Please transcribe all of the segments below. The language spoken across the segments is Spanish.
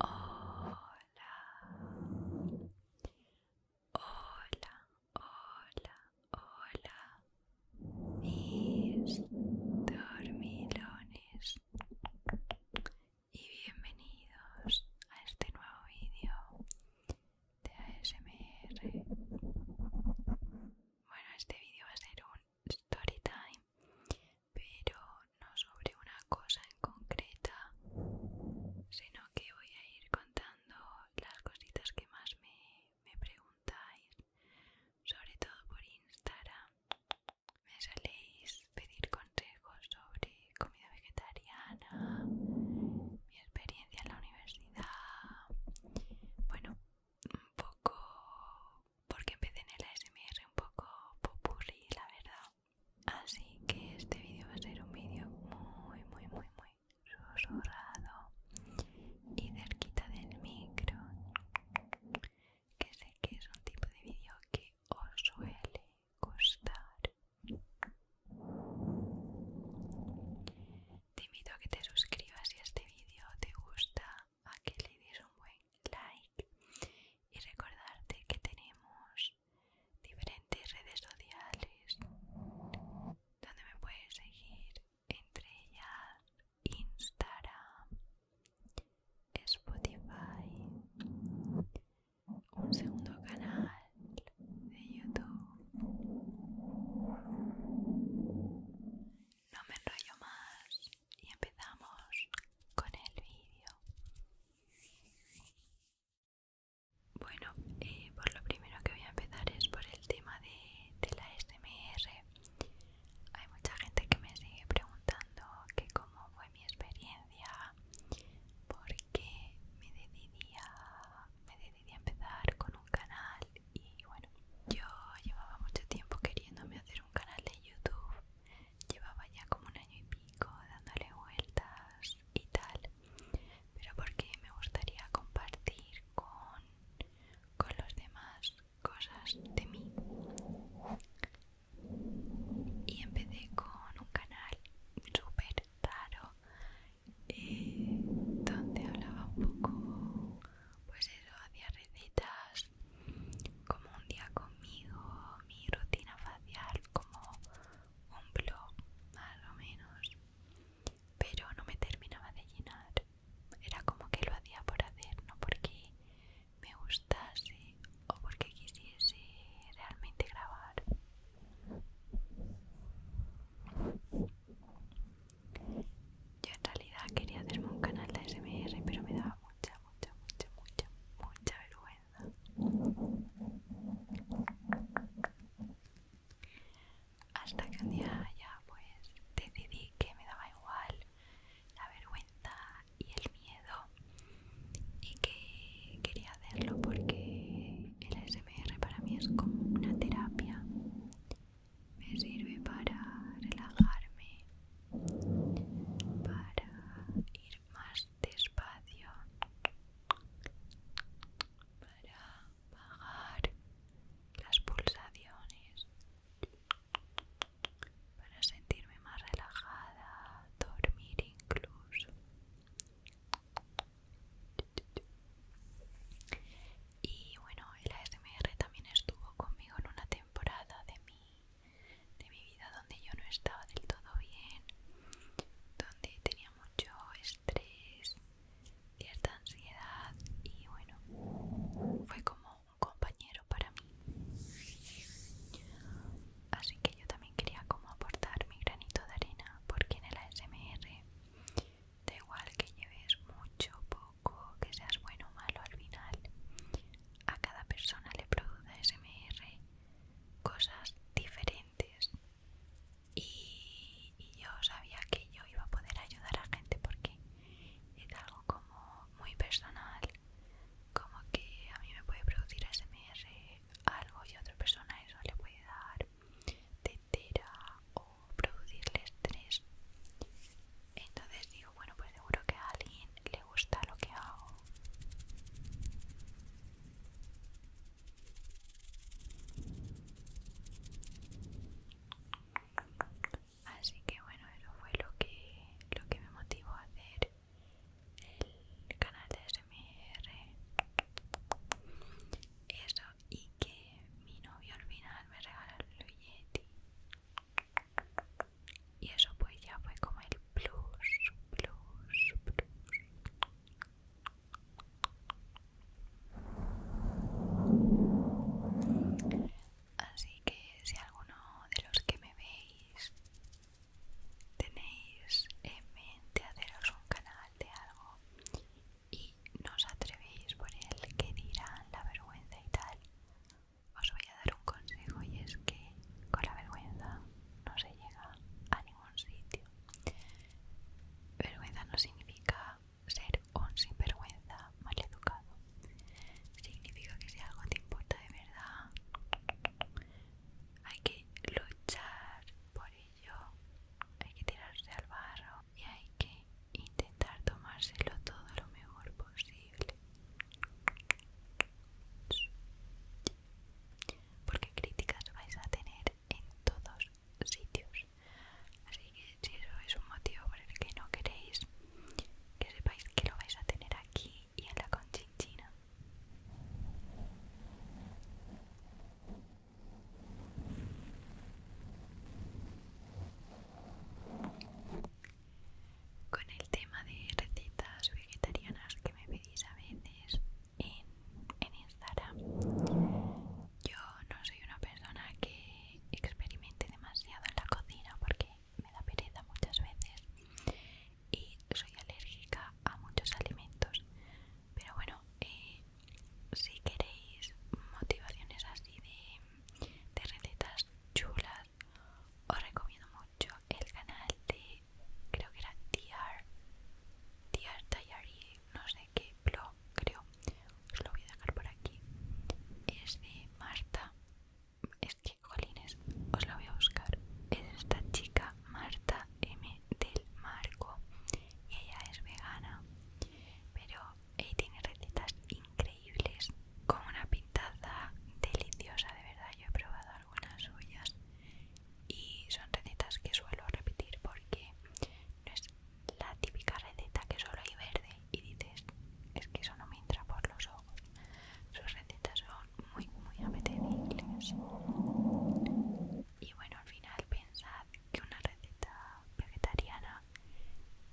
Hola, hola, hola, hola mis dormilones y bienvenidos a este nuevo vídeo de ASMR. Bueno, este vídeo va a ser un story time, pero no sobre una cosa en concreta, sino que voy a ir contando las cositas que más me, me preguntáis, sobre todo por Instagram me saléis pedir consejos sobre comida vegetariana, mi experiencia en la universidad, bueno, un poco porque empecé en el ASMR un poco populi la verdad. Así que este vídeo va a ser un vídeo muy muy muy muy susurrado y cerquita del micro que sé que es un tipo de vídeo que os suele gustar. Te invito a que te suscribas si este vídeo te gusta, a que le des un buen like y recordarte que tenemos diferentes redes sociales donde me puedes seguir entre ellas Instagram, Spotify, un segundo canal de YouTube. No me enrollo más y empezamos con el vídeo. Bueno, eh, por lo primero que voy a empezar es por el tema de, de la SMR hay mucha gente que me sigue preguntando que cómo fue mi experiencia, porque me me decidí a empezar con un canal y bueno, yo llevaba mucho tiempo queriéndome hacer un canal de YouTube, llevaba ya como un año y pico dándole vueltas y tal, pero porque me gustaría compartir con los demás cosas de mí y empecé con un canal súper raro eh, donde hablaba un poco pues eso hacía recetas como un día conmigo mi rutina facial como un blog más o menos pero no me terminaba de llenar era como que lo hacía por hacer, no porque me gustase o porque quisiese realmente grabar. Yo en realidad quería hacerme un canal de SMR, pero me daba mucha, mucha, mucha, mucha, mucha vergüenza. Hasta que un día ya pues decidí que me daba igual la vergüenza y el miedo y que quería hacerlo porque el ASMR para mí es como una terapia me sirve para relajarme para ir más despacio para bajar las pulsaciones para sentirme más relajada, dormir incluso. Y bueno, el ASMR también estuvo conmigo en una temporada de mi, de mi vida donde yo no estaba del todo bien, donde tenía mucho estrés, cierta ansiedad y bueno, fue como un compañero para mí. Así que yo también quería como aportar mi granito de arena porque en el ASMR da igual que lleves mucho, poco, que seas bueno o malo al final. A cada persona le produce ASMR cosas diferentes y, y yo sabía que yo iba a poder ayudar a gente porque es algo como muy personal, como que a mí me puede producir ASMR algo y a otra persona eso le puede dar tetera o producirle estrés. Entonces digo, bueno, pues seguro que a alguien le gusta lo que hago así que bueno eso fue lo que lo que me motivó a hacer el canal de SMR eso y que mi novio al final me regaló el Yeti y eso pues ya fue como el plus plus plus Así que si alguno de los que me veis tenéis en mente haceros un canal de algo y no os atrevéis por el que dirán la vergüenza y tal, os voy a dar un consejo y es que con la vergüenza no se llega a ningún sitio. Vergüenza no significa ser un sinvergüenza educado, significa que si algo te importa de verdad hay que luchar por ello hay que tirarse al barro y hay que intentar tomárselo todo lo mejor posible porque críticas vais a tener en todos sitios. Así que si eso es un motivo por el que no queréis, que sepáis que lo vais a tener aquí y en la conchinchina. Con el tema de recetas vegetarianas que me pedís a veces en, en Instagram, yo no soy una persona que experimente demasiado en la cocina porque me da pereza muchas veces y soy alérgica a muchos alimentos pero bueno eh, si queréis motivaciones así de, de recetas chulas os recomiendo mucho el canal de creo que era DR, DR no sé qué blog creo os lo voy a dejar por aquí es de Marta es que colines, os la voy a buscar es esta chica Marta M del Marco y ella es vegana pero ella tiene recetas increíbles con una pintada deliciosa de verdad yo he probado algunas suyas y son recetas que suelo repetir porque no es la típica receta que solo hay verde y dices, es que eso no me entra por los ojos. Sus recetas son muy, muy apetecibles. Y bueno, al final pensad que una receta vegetariana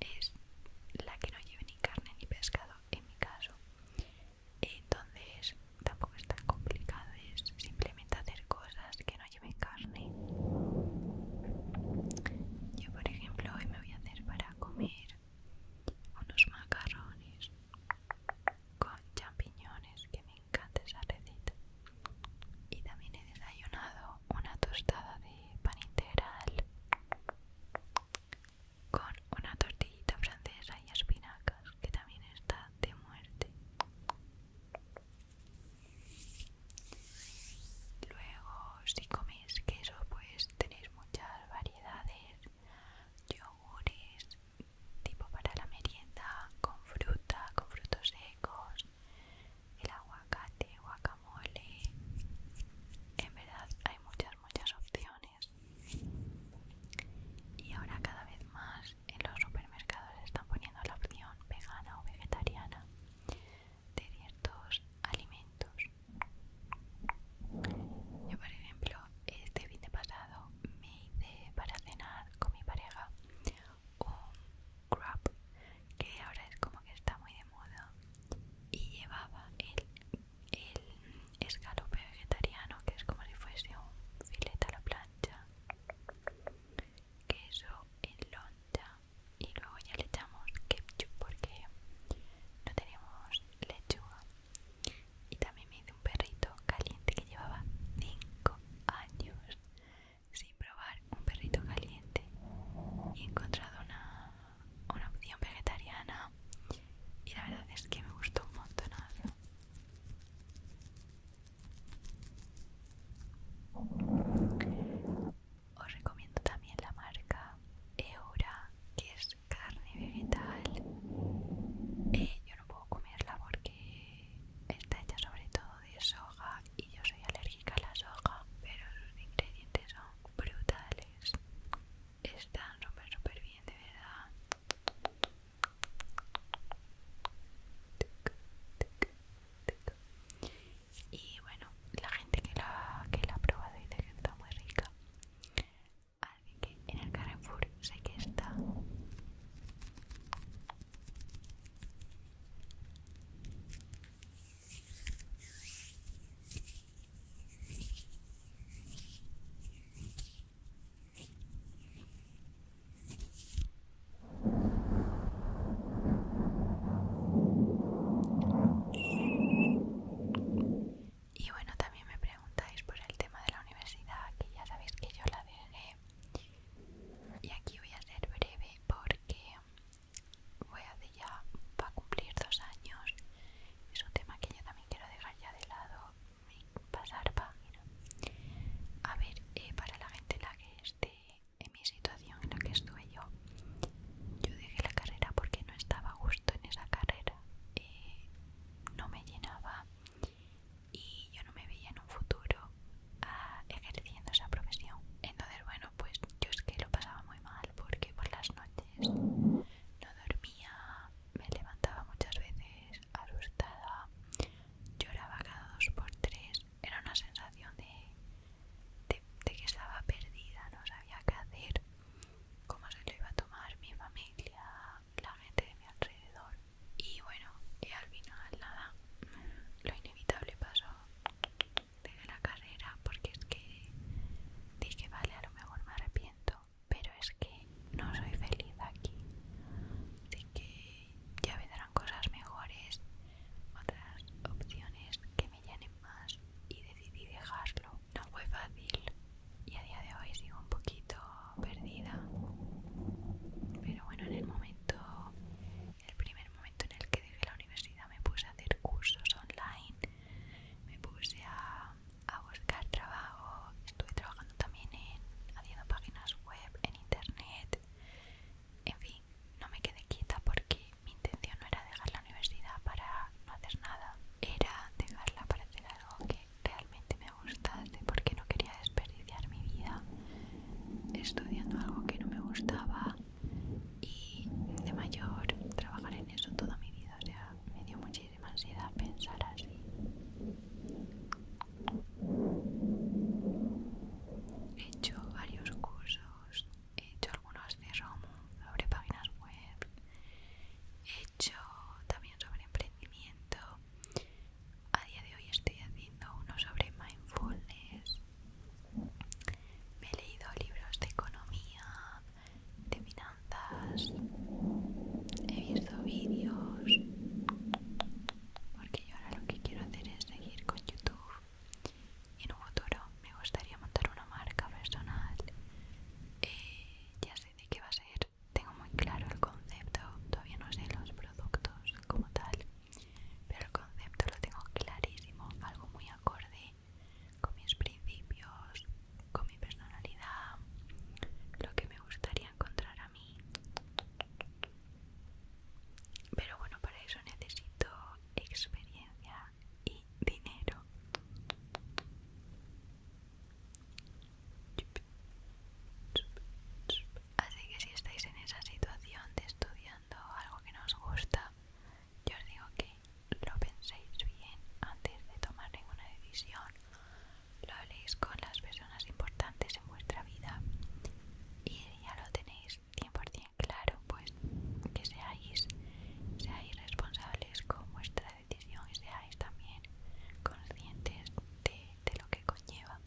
es la que no lleve ni carne ni pescado, en mi caso. Entonces tampoco es tan complicado, es simplemente hacer cosas que no carne. Yo, por ejemplo, hoy me voy a hacer para comer unos macarrones con champiñones, que me encanta esa receta. Y también he desayunado una tostada de pan integral con una tortillita francesa y espinacas, que también está de muerte. Luego, si coméis queso, pues tenéis muchas variedades, yogures, tipo para la merienda, con fruta, con frutos secos, el aguacate, guacamole. En verdad hay muchas, muchas opciones. Y ahora cada vez más en los supermercados están poniendo la opción vegana o vegetariana de ciertos alimentos. Yo, por ejemplo, este vídeo pasado me hice para cenar con mi pareja un crab que ahora es como que está muy de moda y llevaba el, el escalope vegetariano que es como si fuese un filete a la plancha queso en loncha y luego ya le echamos ketchup porque no tenemos lechuga y también me hice un perrito caliente que llevaba 5 años sin probar un perrito caliente y he encontrado una, una opción vegetariana y la verdad es que me gustó un montonazo os recomiendo también la marca Eura, que es carne vegetal. Eh, yo no puedo comerla porque está hecha sobre todo de soja y yo soy alérgica a la soja, pero sus ingredientes son brutales. Están súper, súper bien, de verdad. Y bueno, la gente que la, que la ha probado dice que está muy rica. Así que en el Carrefour sé que está. Y bueno, también me preguntáis por el tema de la universidad, que ya sabéis que yo la dejé. Y aquí voy a ser breve porque voy a hacer ya, va a cumplir dos años. Es un tema que yo también quiero dejar ya de lado pasar página. A ver, eh, para la gente la que esté en mi situación en la que estuve yo, yo dejé la carrera porque no estaba a gusto en esa carrera, eh, no me llenaba y yo no me veía en un futuro ah, ejerciendo esa profesión. Entonces, bueno, pues yo es que lo pasaba muy mal porque por las noches no dormía, me levantaba muchas veces asustada, lloraba cada dos por tres, era una sensación de, de, que estaba perdida, no sabía qué hacer, cómo se lo iba a tomar mi familia, la gente de mi alrededor. Y bueno, y al final nada, lo inevitable pasó. de la carrera porque es que dije, vale, a lo mejor me arrepiento, pero es que no soy feliz aquí. Así que ya me darán cosas mejores, otras opciones que me llenen más y decidí dejarlo. No fue fácil y a día de hoy sigo un poquito perdida, pero bueno, en el momento, el primer momento en el que dejé la universidad me puse a hacer cursos online, me puse a, a buscar trabajo, estuve trabajando también en haciendo páginas web en internet. En fin, no me quedé quieta porque mi intención no era dejar la universidad para no hacer nada, era dejarla para hacer algo que realmente me gustase porque no quería desperdiciar mi vida estudiando algo que no me gustaba y de mayor trabajar en eso toda mi vida. O sea, me dio muchísima ansiedad pensar así. He hecho varios cursos, he hecho algunos de Romo sobre páginas web, he hecho también sobre emprendimiento. A día de hoy estoy haciendo uno sobre mindfulness. Me he leído libros de economía, de finanzas, he visto vídeos porque yo ahora lo que quiero hacer es seguir con YouTube en un futuro me gustaría montar una marca personal eh, ya sé de qué va a ser tengo muy claro el concepto todavía no sé los productos como tal pero el concepto lo tengo clarísimo algo muy acorde con mis principios con mi personalidad lo que me gustaría encontrar pero bueno, para eso necesito experiencia y dinero. Así que si estáis en esa situación de estudiando algo que no os gusta, yo os digo que lo penséis bien antes de tomar ninguna decisión lo habléis con las personas importantes en vuestra vida y ya lo tenéis 100% claro, pues que seáis, responsables con vuestra decisión y seáis también conscientes de, lo que conlleva.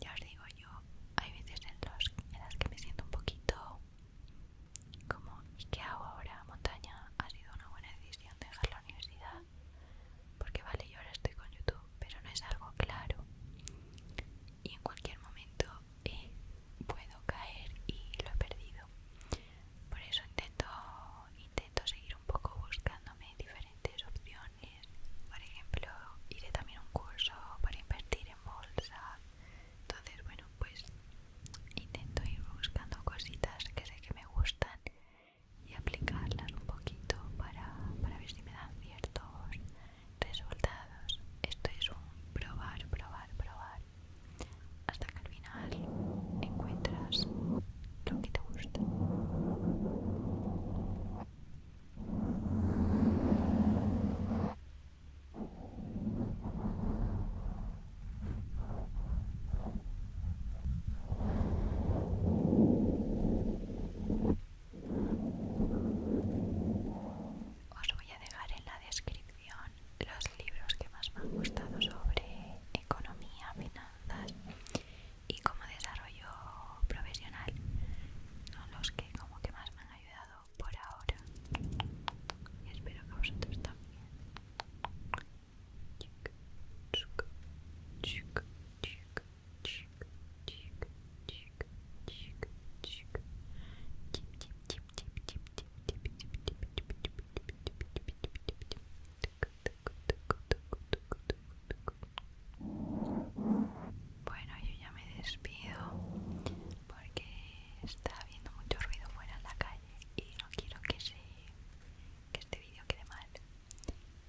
Ya os digo yo, hay veces en, los, las que me siento un poquito como, ¿y qué hago ahora? Montaña, ha sido una buena decisión dejar la universidad, porque vale yo ahora estoy con youtube pero no es algo claro y en cualquier momento eh, puedo caer y lo he perdido por eso intento intento seguir un poco buscándome diferentes opciones por ejemplo iré también un curso para invertir en bolsa entonces bueno pues intento ir buscando cositas que sé que me gustan y aplicarlas un poquito para, ver si me dan ciertos resultados. Esto es un probar, probar, probar hasta que al final encuentras lo que te gusta. Os voy a dejar en la descripción los libros que más me han gustado sobre economía, finanzas y como desarrollo profesional. Son los que como que más me han ayudado por ahora. Y espero que a vosotros también. Bueno, yo ya me despido porque está habiendo mucho ruido fuera en la calle y no quiero que se que este vídeo quede mal.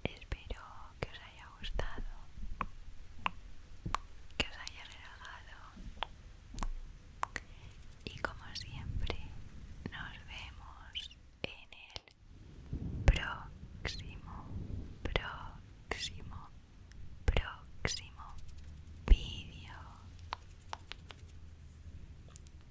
Espero que os haya gustado, que os haya relajado y como siempre nos vemos en el próximo, próximo, próximo vídeo.